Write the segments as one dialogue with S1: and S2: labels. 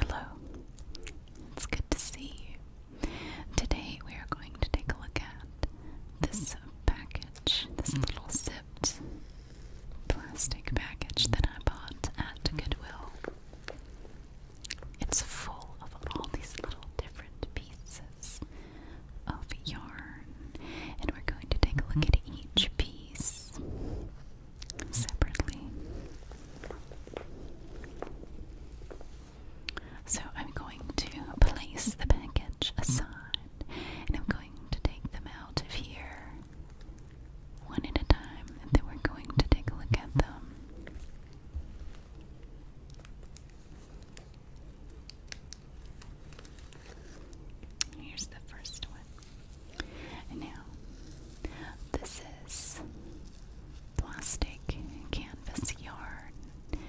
S1: Hello, it's good to see you. Today we are going to take a look at this package, this little zipped plastic package that I bought at Goodwill. It's full of all these little different pieces of yarn, and we're going to take a look at each piece separately. So I'm going to place the package aside and I'm going to take them out of here one at a time and then we're going to take a look at them. Here's the first one. Now, this is plastic canvas yarn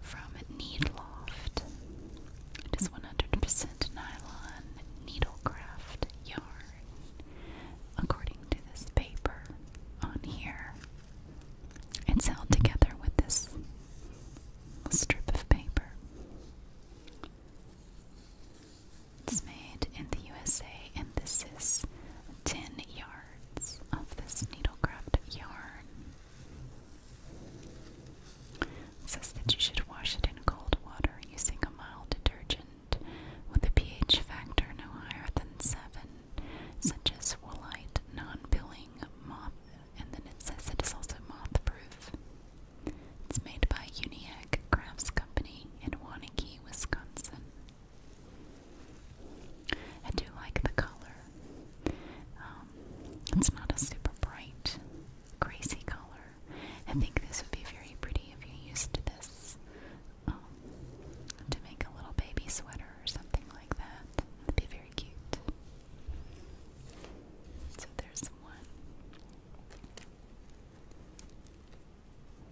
S1: from Needloft. It is 100% nylon needlecraft yarn, according to this paper on here. It's held together with this strip of paper. It's made in the USA and this is 10 yards of this needlecraft yarn. says that you should wash it in cold water using a mild detergent with a pH factor no higher than 7, such as woolite, non-pilling, moth, and then it says it is also moth It's made by Uniac Crafts Company in Wanakee, Wisconsin. I do like the color. Um, it's not a super bright, crazy color. I think this would be very pretty if you used this um, to make a little baby sweater or something like That'd be very cute. So there's one.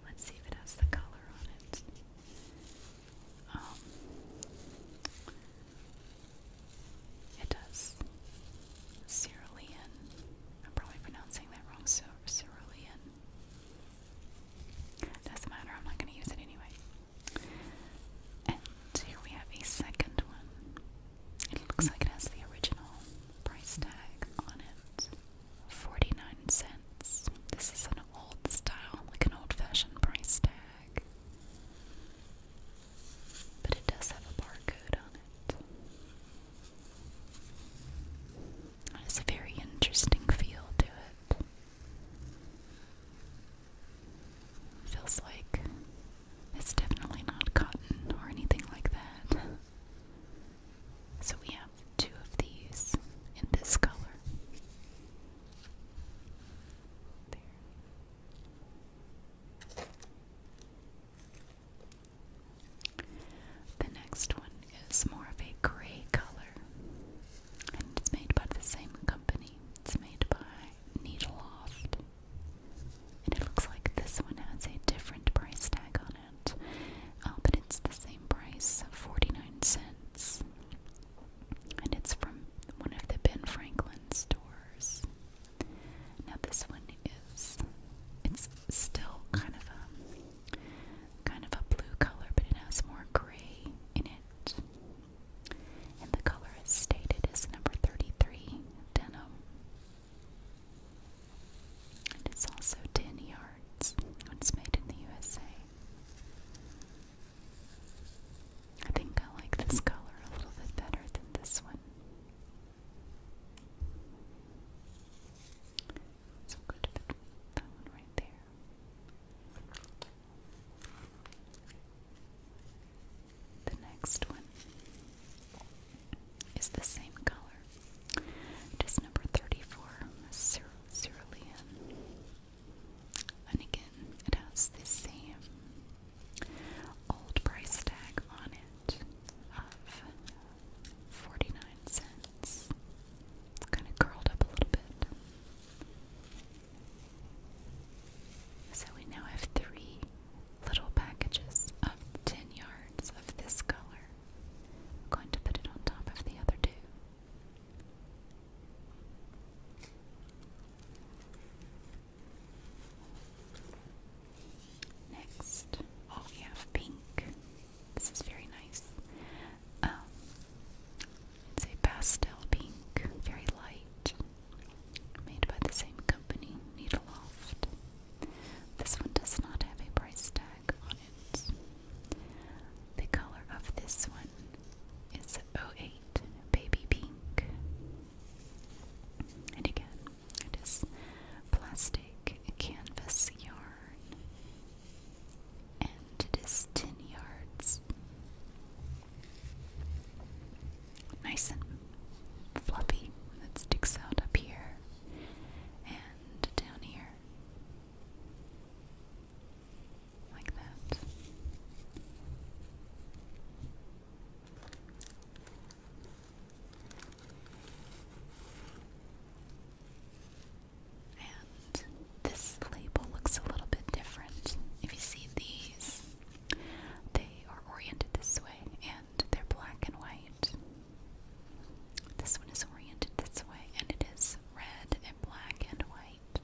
S1: Let's see if it has the color on it. Um, it does. Cerulean. I'm probably pronouncing that wrong. So cerulean. Doesn't matter. I'm not going to use it anyway. And here we have a second one. It looks like it has the original price tag on it. 49 cents. This is an old style, like an old fashioned price tag. But it does have a barcode on it. It a very interesting feel to it. Feels like it's definitely not cotton or anything like that. So we have two of these in this color. There. The next one is more of a gray color. And it's made by the same company. It's made by Needleloft. And it looks like this one has a different price tag on that. Uh, but it's the same price, 49 cents. And it's from one of the Ben Franklin stores. Now this one is it's still kind of a kind of a blue color, but it has more gray in it. And the color is stated as number 33 denim. It is also 10 yards it's made in the USA. I think I like this color a little bit better than this one. So I'm to that one right there. The next one is the same color. It is number 34, Cyr And again, it has the same old price tag on it of 49 cents. It's kind of curled up a little bit. So we now have three little packages of 10 yards of this color. I'm going to put it on top of the other two. Next, oh, we have pink. This is very nice. Um, it's a pastel pink, very light, made by the same company, Needleloft. This one does not have a price tag. The color of this one is 08 Baby Pink. And again, it is plastic canvas yarn. And it is 10 yards. Nice and fluffy. That sticks out up here and down here. Like that. And this label looks a little bit different. If you see these, they are oriented this way and they're black and white. This one is oriented this way, and it is red and black and white.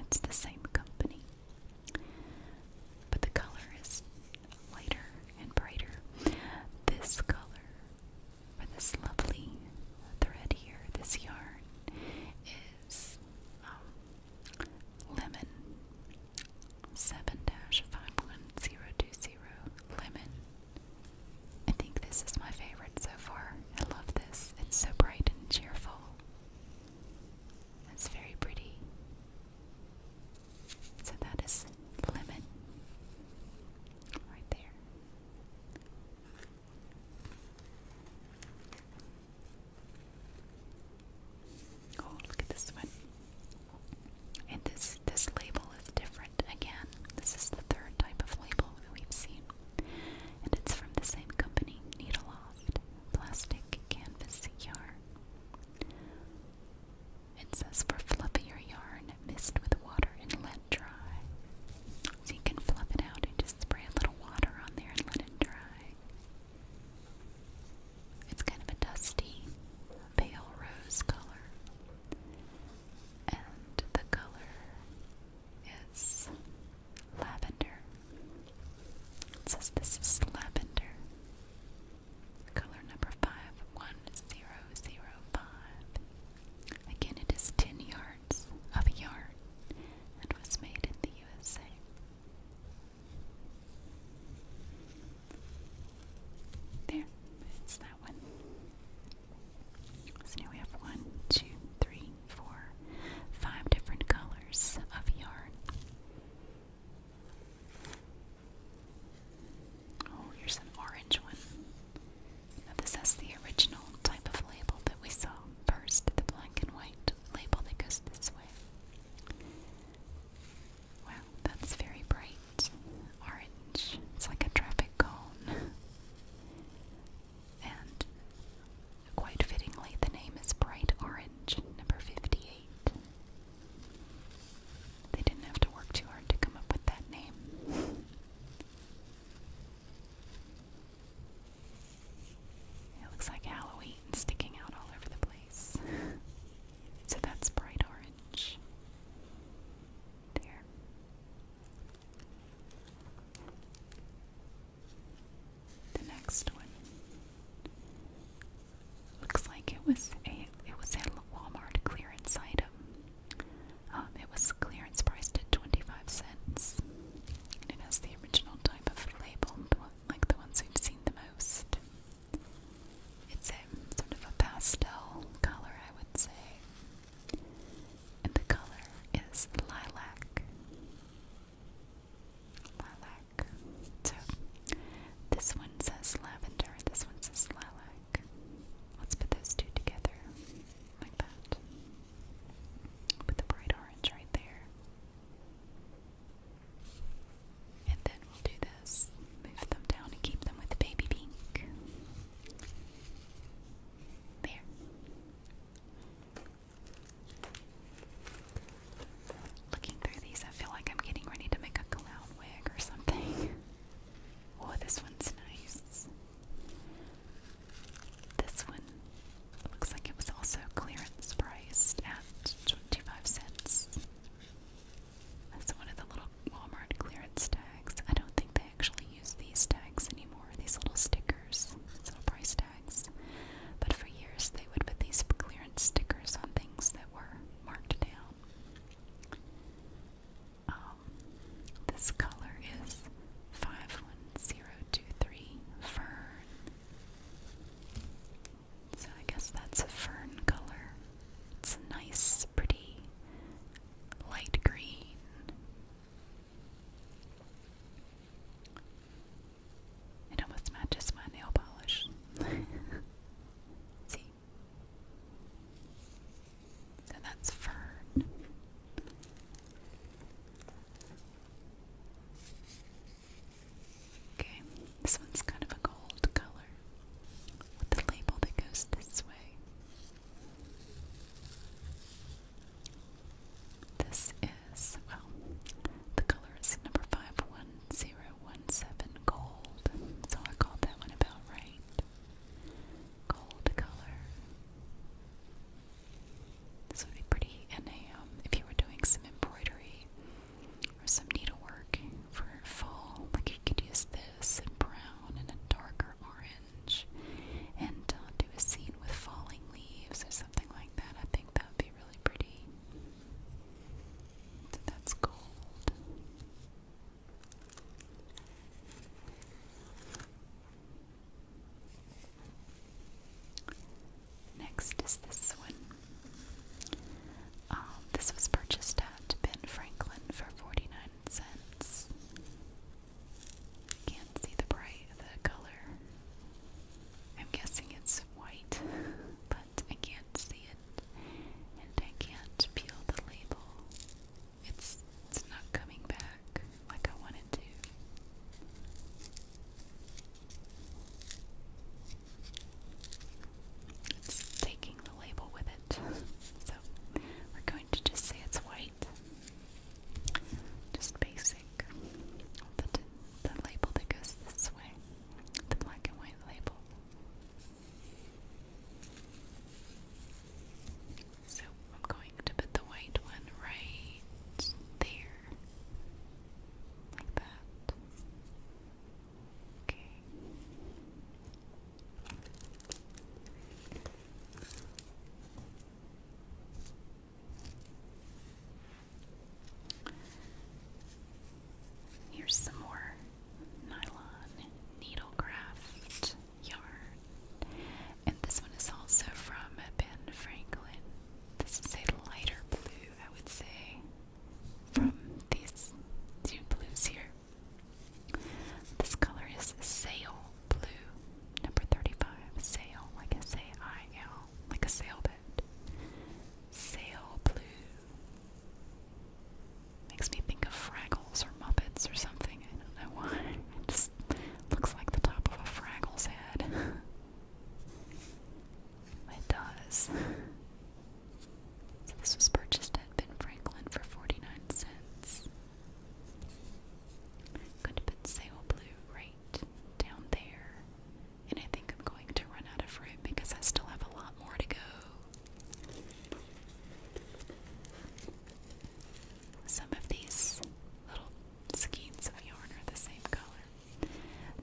S1: It's the same company, but the color is lighter and brighter. This color for this lovely thread here, this yarn, is um, lemon 7 51020 lemon I think this is my favorite so far. I love this. It's so bright and cheerful. It's very pretty. So that is lemon right there. Oh, look at this one. And this this label is different again. This is the third type of label that we've seen. And it's from the same company, Needleloft Plastic Canvas Yarn. It says for fluffier yarn, mist with water and let dry. So you can fluff it out and just spray a little water on there and let it dry. It's kind of a dusty, pale rose color and the color is lavender. It says this is lavender. Color number 51005. Again, it is 10 yards of yarn and was made in the USA. There, it's that one. So now we have one, two, three, four, five different colors of yarn. Oh, here's an orange one. Now this has the original type of label that we saw first, the black and white label that goes this way. Wow, that's very bright orange. It's like a traffic cone. And quite fittingly, the name is Bright Orange, number 58. They didn't have to work too hard to come up with that name. It looks like Halloween sticking out all over the place. so that's bright orange. The next one looks like it was a it was a Walmart clearance item. Um, it was clearance priced at twenty five cents, and it has the original type of label, like the ones we've seen the most. It's a sort of a pastel color, I would say. And the color is lilac. Lilac. So this one says lavender, this one says lilac. Let's put those two together like that. Put the bright orange right there. And then we'll do the this. Move them down and keep them with the baby pink. There. Looking through these, I feel like I'm getting ready to make a clown wig or something. Oh, this one's nice. This one looks like it was also clearance priced at 25 cents. That's one of the little Walmart clearance tags. I don't think they actually use these tags anymore, these little stickers, these little price tags. But for years, they would put these clearance stickers on things that were marked down. Um, this color is 51023 Fern. So I guess that's a fern color. It's a nice pretty light green. It almost matches my nail polish. See? So that's fern. Okay, this one's kind of a gold color the label that goes this way. This is, well, the color is number 51017 gold, so I that one about right. Gold color. This would be pretty in a, um, if you were doing some embroidery or some needlework for fall, like you could use and brown and a darker orange and do a scene with falling leaves or something like that. I think that would be really pretty. that's gold. Next is this one. Um, this was purchased at Ben Franklin for 49 cents plants. Can't see the bright the color. I'm guessing it's white, but I can't see it, and I can't peel the label. It's it's not coming back like I wanted to. It's taking the label with it. So we're going to just say it's white. Just basic. The, the label that goes this way. The black and white label. So I'm going to put the white one right there. Like that. Okay. Here's some more nylon needlecraft yarn. And this one is also from Ben Franklin. This is a lighter blue, I would say, from these two blues here. This color is sail blue, number 35. Sail, like a say I L, like a sailboat. Sail blue. Makes me think of Fraggles or Muppets or something. I don't know why. It just looks like the top of a Fraggle's head. it does. This was purchased at Ben Franklin for 49 cents. I'm going to Blue right down there. And I think I'm going to run out of room because I still have a lot more to go. Some of these little skeins of yarn are the same color.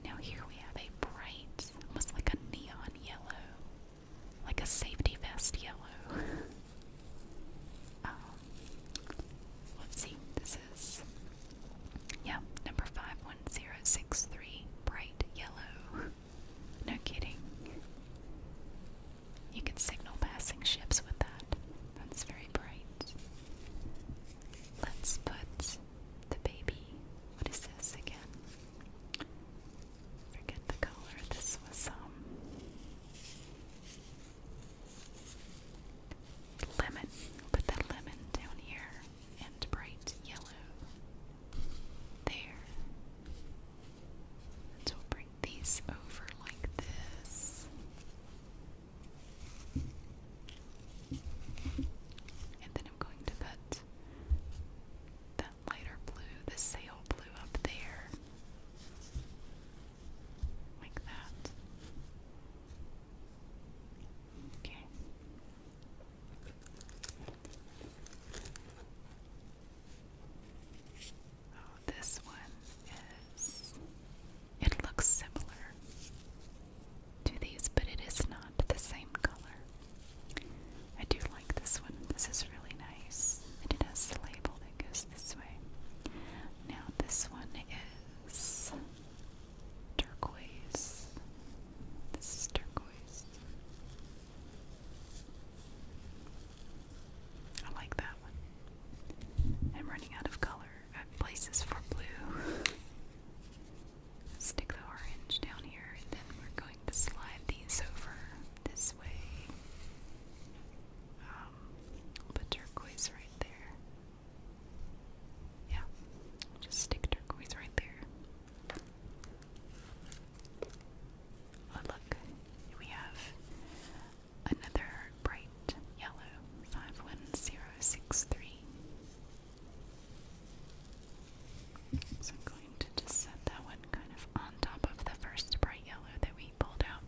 S1: Now, here we have a bright, almost like a neon yellow like a safety vest yellow. Um, let's see, this is, yeah, number 51063, bright yellow. No kidding. You can signal passing ships with that. That's very bright. Let's put the baby. What is this again? forget the color. This was um lemon. Put the lemon down here and bright yellow there. And we bring these over like this. And then I'm going to put lighter blue, the sail blue up there. Like that. Okay. Oh, this one is. It looks similar to these, but it is not the same color. I do this one. This is really nice. And it has the label that goes this way. Now, this one is turquoise. This is turquoise. I like that one. I'm running out of color at places for blue. Stick the orange down here, then we're going to slide these over this way. Um, put turquoise right there. Yeah, just stick turquoise right there. Oh, look, we have another bright yellow 51063. So i to just set that one kind of on top of the first bright yellow that we pulled out.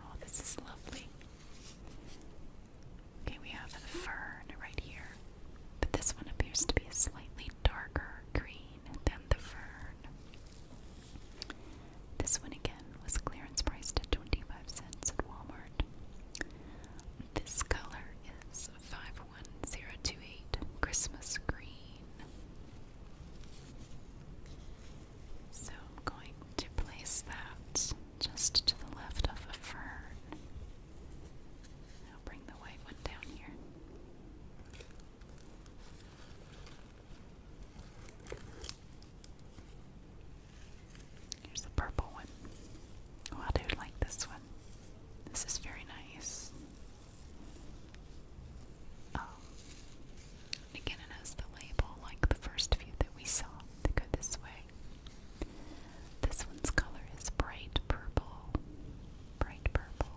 S1: Oh, this is lovely. Okay, we have a fern right here, but this one appears to be a slightly darker green than the fern. This one again was clearance priced at 25 cents at Walmart. This color is 51028 Christmas Green. So I'm going to place that just to the left of a fern. i bring the white one down here. Here's the purple one. Oh, I do like this one. This is very nice. Um, again, it has the label like the first few that we saw that go this way. This one's color is bright purple. Bright purple.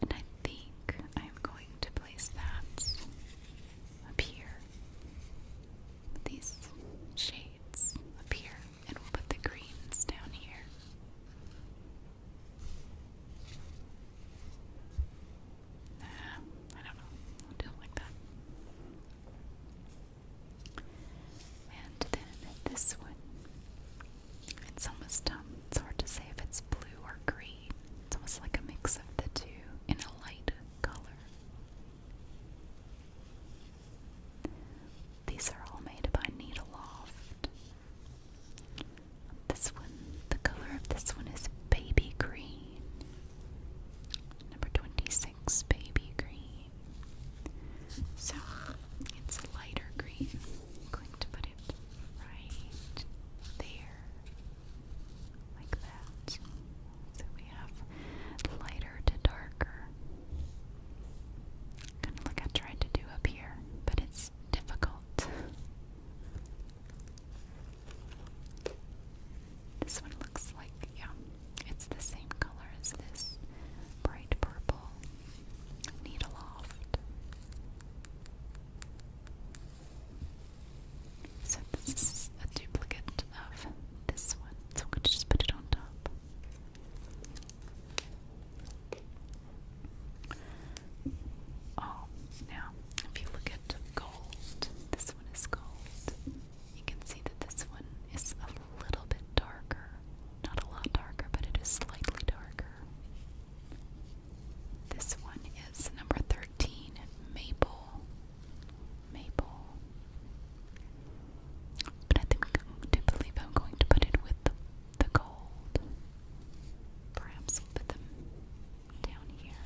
S1: And I think I'm going to place that up here these shades up here, and we'll put the greens down here. I don't know. do it like that. And then this one. It's almost um it's hard to say if it's blue or green. It's almost like a mix of the two in a light color. These are all made by Needleloft. This one, the color of this one is baby green. Number 26, baby green. So it's lighter green. going to put it right there, like that. So we have lighter to darker. Kind of like I tried to do up here, but it's difficult. This one looks like, yeah, it's the same color as this bright purple needle loft. So this is a duplicate of this one. So I'm going to just put it on top. Oh, now if you look at gold, this one is gold. You can see that this one is a little bit darker. Not a lot darker, but it is slightly darker. This one is number 13, Maple maple. But I think I believe I'm going to put it with the gold. Perhaps we'll put them down here.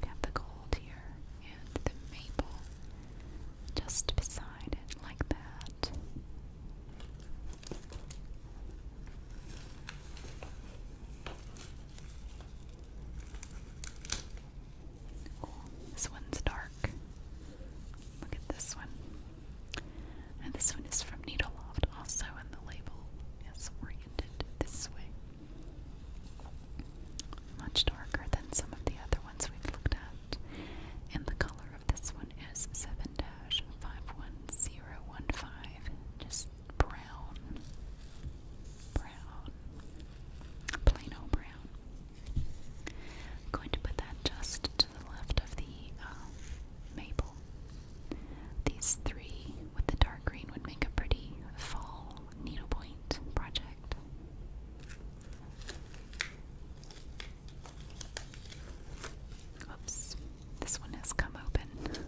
S1: We have the gold here and the maple just beside it, like that this one's dark. Look at this one. And this one is from Needle Loft. also, and the label is oriented this way. Much darker than some of the other ones we've looked at. And the color of this one is 7 51015. Just brown. Brown. Plain old brown. I'm going to put that just to the left of the um, maple. These three with the dark green would make a pretty fall needlepoint project. Oops, this one has come open.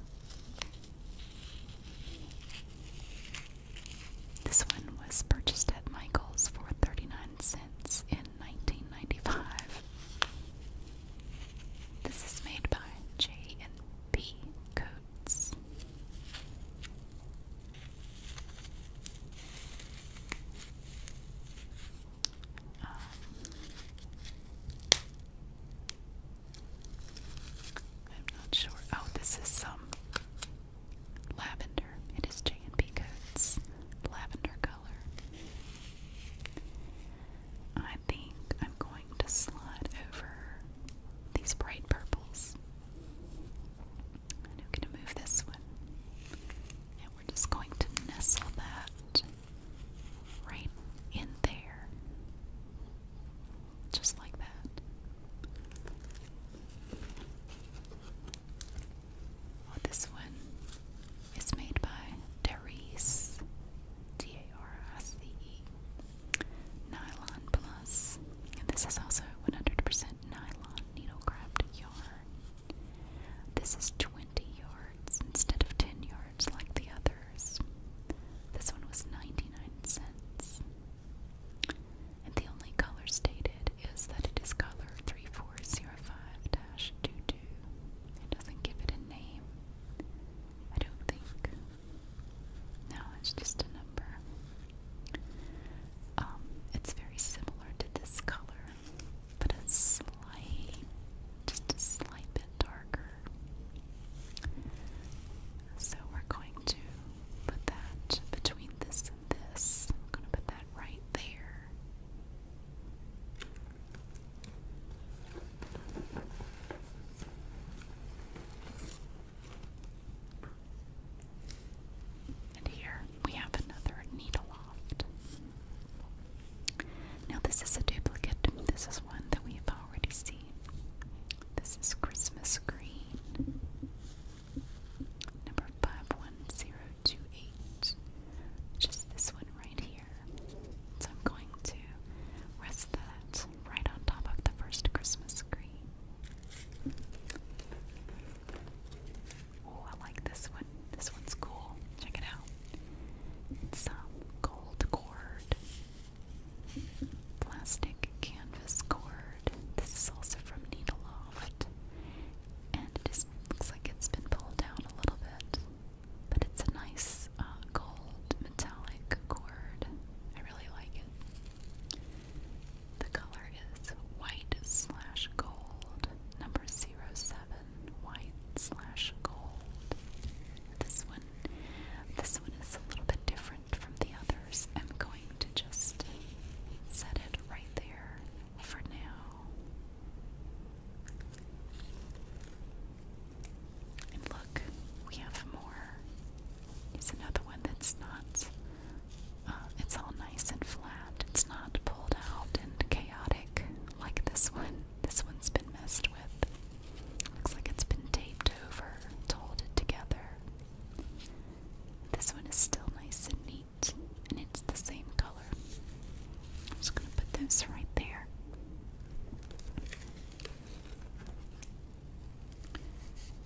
S1: This one was purchased at Michael's for 39 cents in 1995. This is made by J and P Coats. Um, I'm not sure. Oh, this is some Lavender. It is J&B Coats. Lavender color. I think I'm going to slide over these bright purples. I'm going to move this one. And we're just going to nestle that right in there. Just like that. Oh, this one is made by Therese, D A R S E E, Nylon Plus. And this is also 100% nylon needlecraft yarn. This is 20 yards instead of 10 yards like the others. This one was 99 cents. And the only color stated is that it is color 3405 two. It doesn't give it a name. I don't think. No, it's just a number. Um, it's very similar to this color, but a slight, just a slight bit darker. So we're going to put that between this and this. I'm gonna put that right there. And here we have another needle loft. Now, this is a duplicate. This is one that we've already seen. This is Christmas green. Number 51028. Just this one right here. So I'm going to rest that right on top of the first Christmas tree. Oh, I like this one. This one's cool. Check it out. It's some um, gold cord, plastic canvas cord. This is also from Needle Loft, And it just looks like it's been pulled down a little bit. But it's a nice uh, gold metallic cord. I really like it. The color is white slash gold. Number 07, white slash gold. This one, this one is a little bit different from the others. I'm going to just set it right there for now. And look, we have more. Here's another one that's not, uh, it's all nice and flat. It's not pulled out and chaotic like this one. This one's been messed with. Looks like it's been taped over to hold it together. This one is still nice and neat, and it's the same color. I'm just going to put this right there.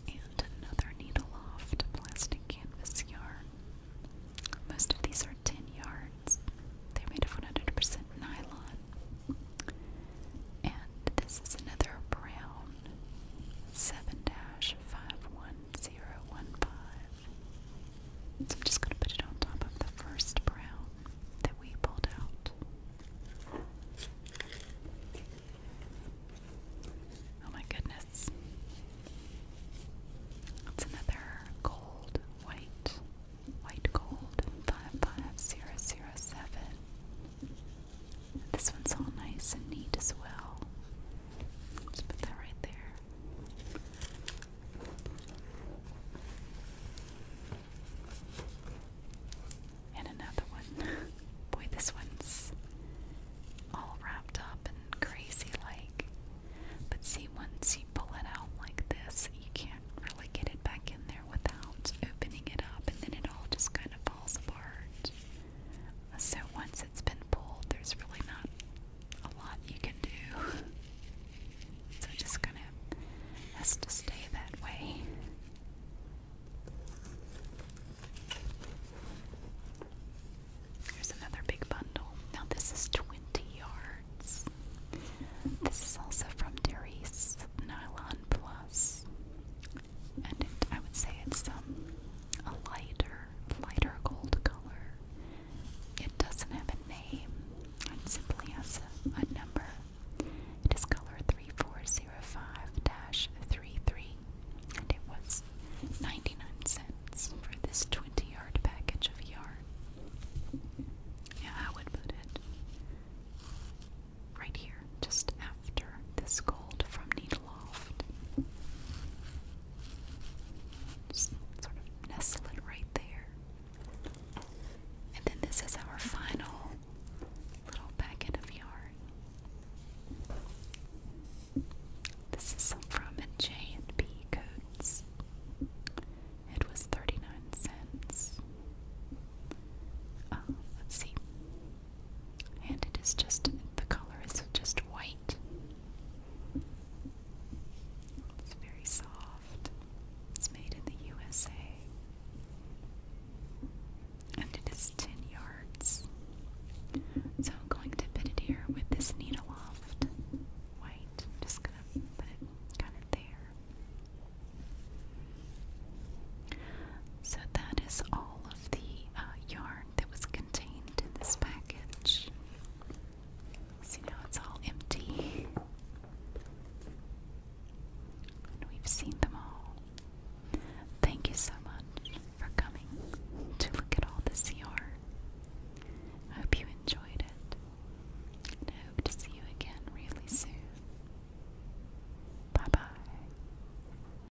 S1: And another needle loft plastic canvas yarn. Most of these are 10 yards. They're made of 100% nylon. And this is another brown 7 dash 51015. So I'm just going to put it on top of the first brown that we pulled out. Oh my goodness. That's another gold, white, white gold, 55007. This one's all nice and neat as well. Just put that right there. And another one. Boy, this one's all wrapped up and crazy like. But see, once you pull it out like this, you can't really get it back in there without opening it up, and then it all just kind of falls apart. So once it's been pulled, there's really not a lot you can do. So it just gonna has to stay that way. There's another big bundle. Now this is 20 yards. This is also from Darius Nylon Plus and it, I would say it's um, a lighter, lighter gold color. It doesn't have a name, it simply has a, number. It is color 3405 33, and it was 99 cents for this 20 yard package of yarn. Yeah, I would put it right here, just after this gold from Needleloft. Just sort of nestle it right there. And then this is our final little packet of yarn. This is some from J and P Coats. It was 39 cents. Uh, let's see and it is just the color is just white. It's very soft. It's made in the USA. And it is 10 yards. So I'm going to put it here with this needle loft white. just going to put it kind of there. So that is all of the uh, yarn that was contained in this package. See, now it's all empty. we've seen them all. Thank you so much for coming to look at all this CR. hope you enjoyed it. And hope to see you again really soon. Bye bye.